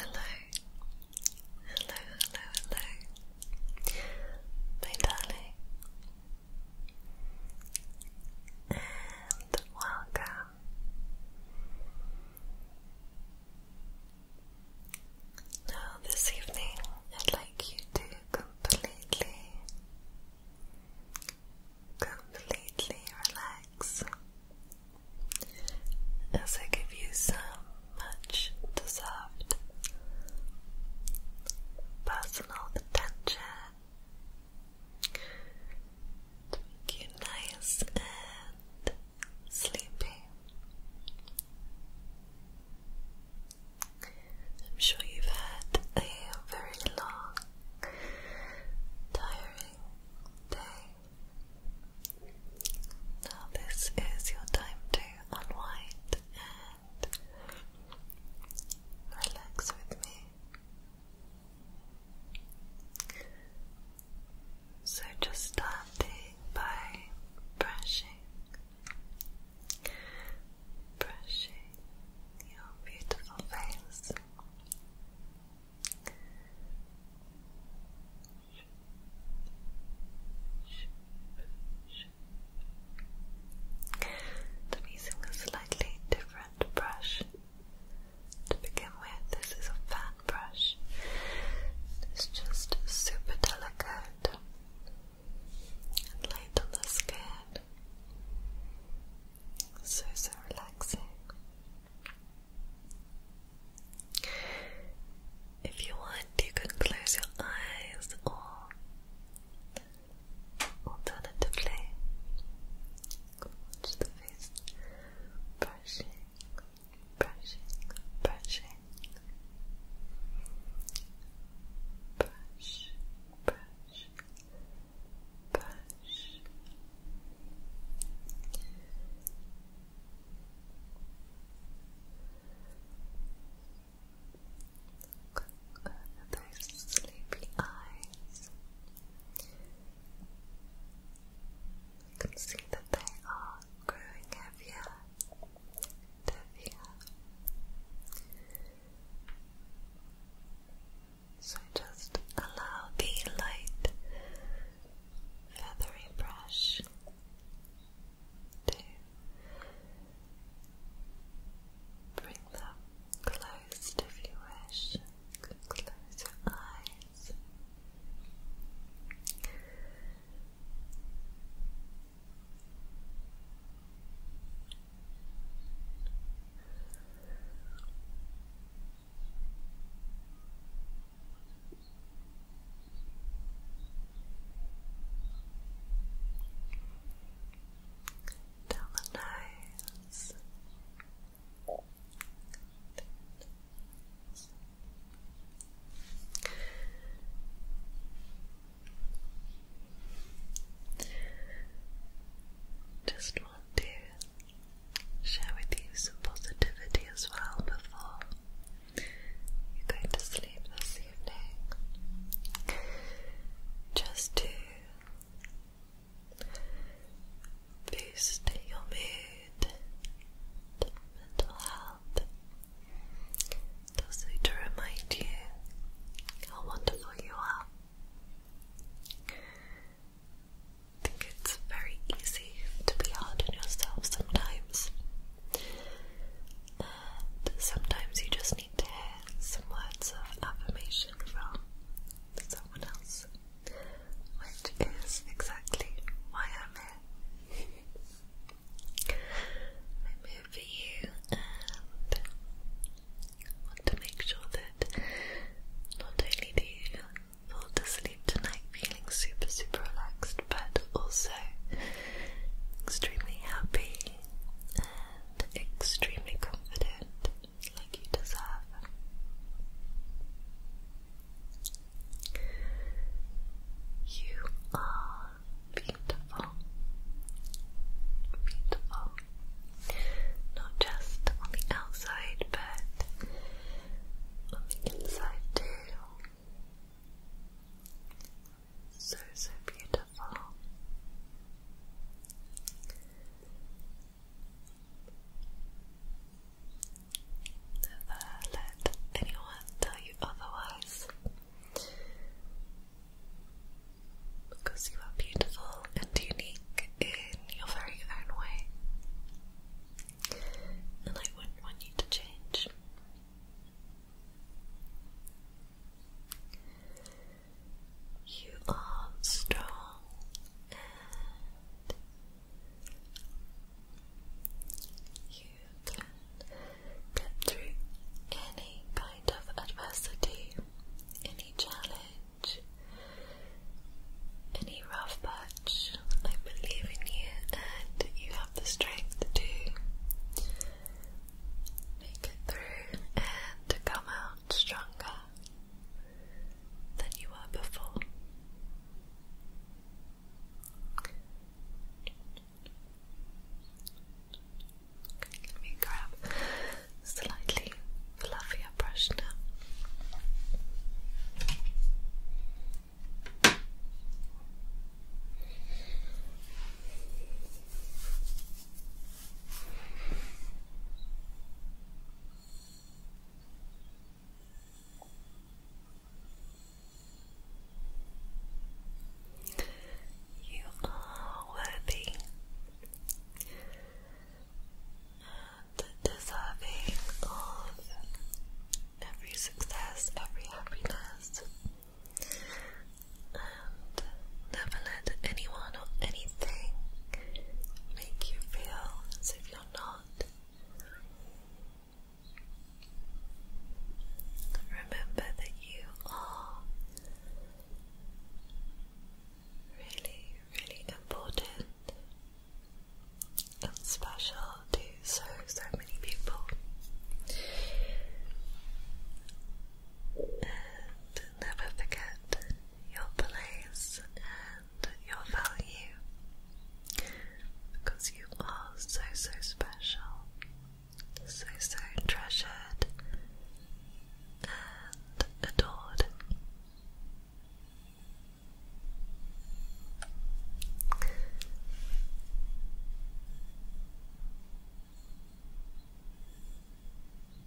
Hello, hello, hello, hello, my darling and welcome. Now, this evening, I'd like you to completely, completely relax as I give you some much deserved personal attention to make nice and sleepy. I'm sure you've had a very long, tiring day. Now, this is your time to unwind Relax with me. So, just starting by brushing, brushing your beautiful face. I'm using slightly different brush. To begin with, this is a fan brush. It's just super delicate and light on the skin. So, so relaxing. If you want, you can close your eyes or Alternatively, watch the face brushing, brushing, brushing, brush, brush. Brush, Look at those sleepy eyes. You can see that they are growing heavier heavier. So just allow the light feathery brush to bring them closer closed if you wish. You can close your eyes. Just want to share with you some positivity as well before you're to sleep this evening. Just to boosting your mood mental health. And to remind you how wonderful you are. I think it's very easy to be hard on yourself sometimes. sometimes you just to hear some words of affirmation from someone else, which is exactly why I'm here. I'm here for you and want to make sure that not only do you fall to tonight feeling super, super relaxed, but also extremely happy extremely confident, like you deserve. You are beautiful, beautiful, not just on the outside, but on the inside too. So, so beautiful. Beautiful. let anyone tell you otherwise. Because you are beautiful and unique in your very own way. And I wouldn't want you to change. You are strong and you can get through any kind of adversity, any challenge, any rough patch. I believe in you and you have the strength to make it through and to come out stronger than you were before. let me grab slightly fluffier brush now. You are worthy and deserving of every success, every happiness, and never let anyone or anything make you feel as if you're not. Remember that you are really, really important and special to so, so many people and never forget your place and your value because you are so so special, so so treasured and adored.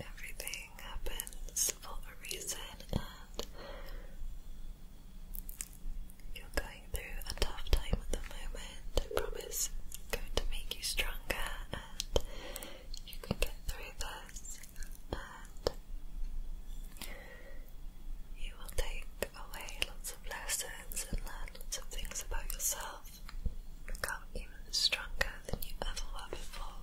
Everything happens for a reason, and you're going through a tough time at the moment. I promise it's going to make you stronger, and you can get through this, and you will take away lots of lessons and learn lots of things about yourself. Become even stronger than you ever were before.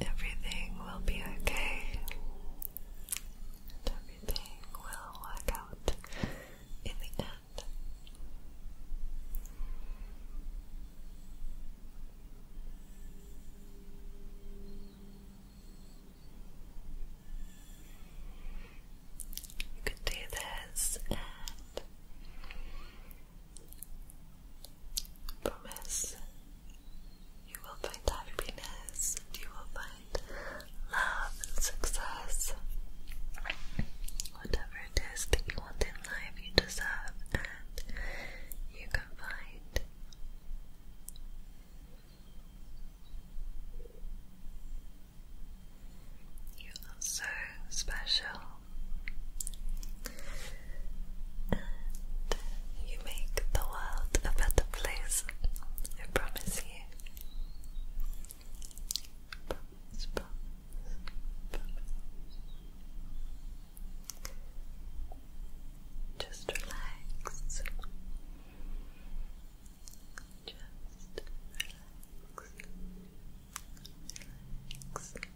Everything will be okay. everything will work out in the end. You can do this Promise you will find happiness you will find love success. Whatever it is that you want in life, you deserve, and you can find. You are so special you make the world a better place. I promise you. Just relax. Just Relax relax, relax.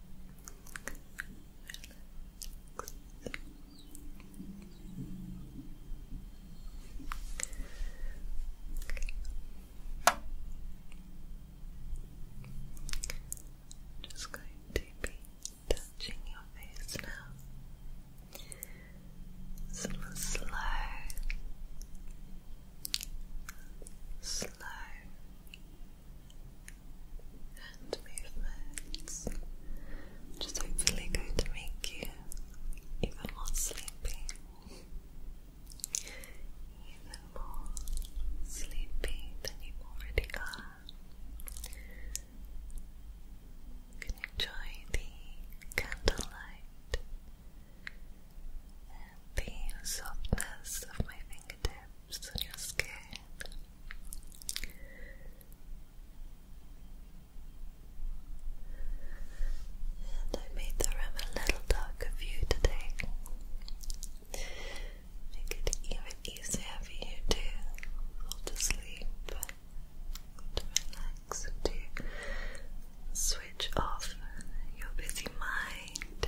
Just going to be touching your face now. Slow, slow, slow, and movements, which hopefully going to make you even more sleepy. Even more sleepy than you already are. can enjoy the candlelight and the softness of my fingers fingertips I made the room a little darker for you today. Make it even easier for you to fall to to relax, and to switch off your busy mind.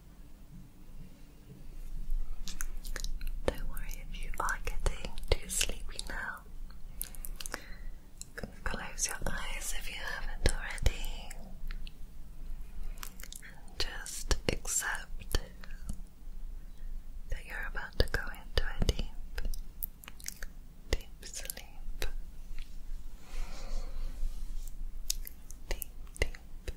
Don't worry if you are getting too sleepy now. Close your eyes if you haven't already. And just accept that you're about to go into a deep, deep sleep. Deep, deep,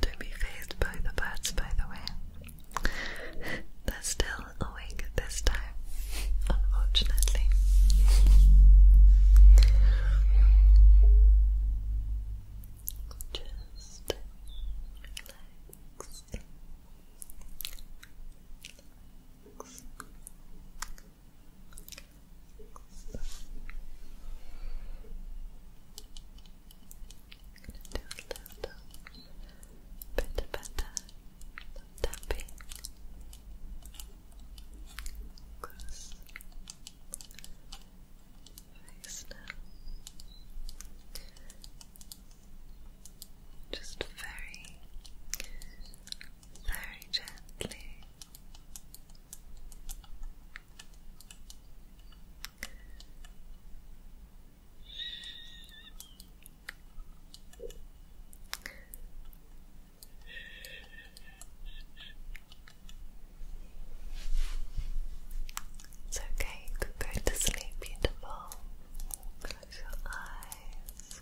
Don't be phased by the birds, by the way. They're still awake this time, unfortunately. Just relax relax, relax. a little bit better tapping just very, very gently. It's okay, you could to sleep, beautiful. Close your eyes.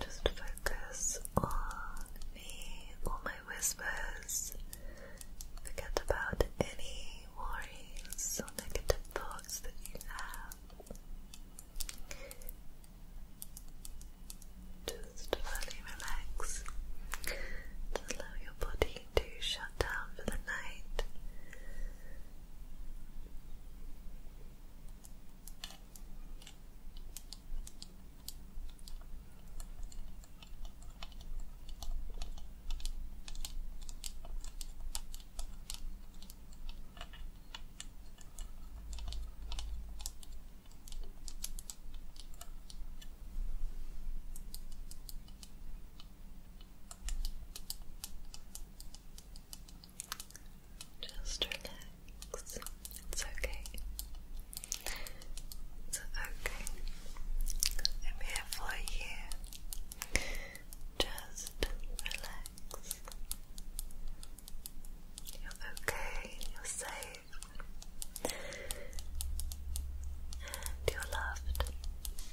Just focus on me or my whispers. Forget about any worries or negative thoughts that you have. Just fully relax. allow your body to shut down for the night. Just relax. It's okay. It's okay. I'm here for you. Just relax. You're okay, you're safe, you're loved.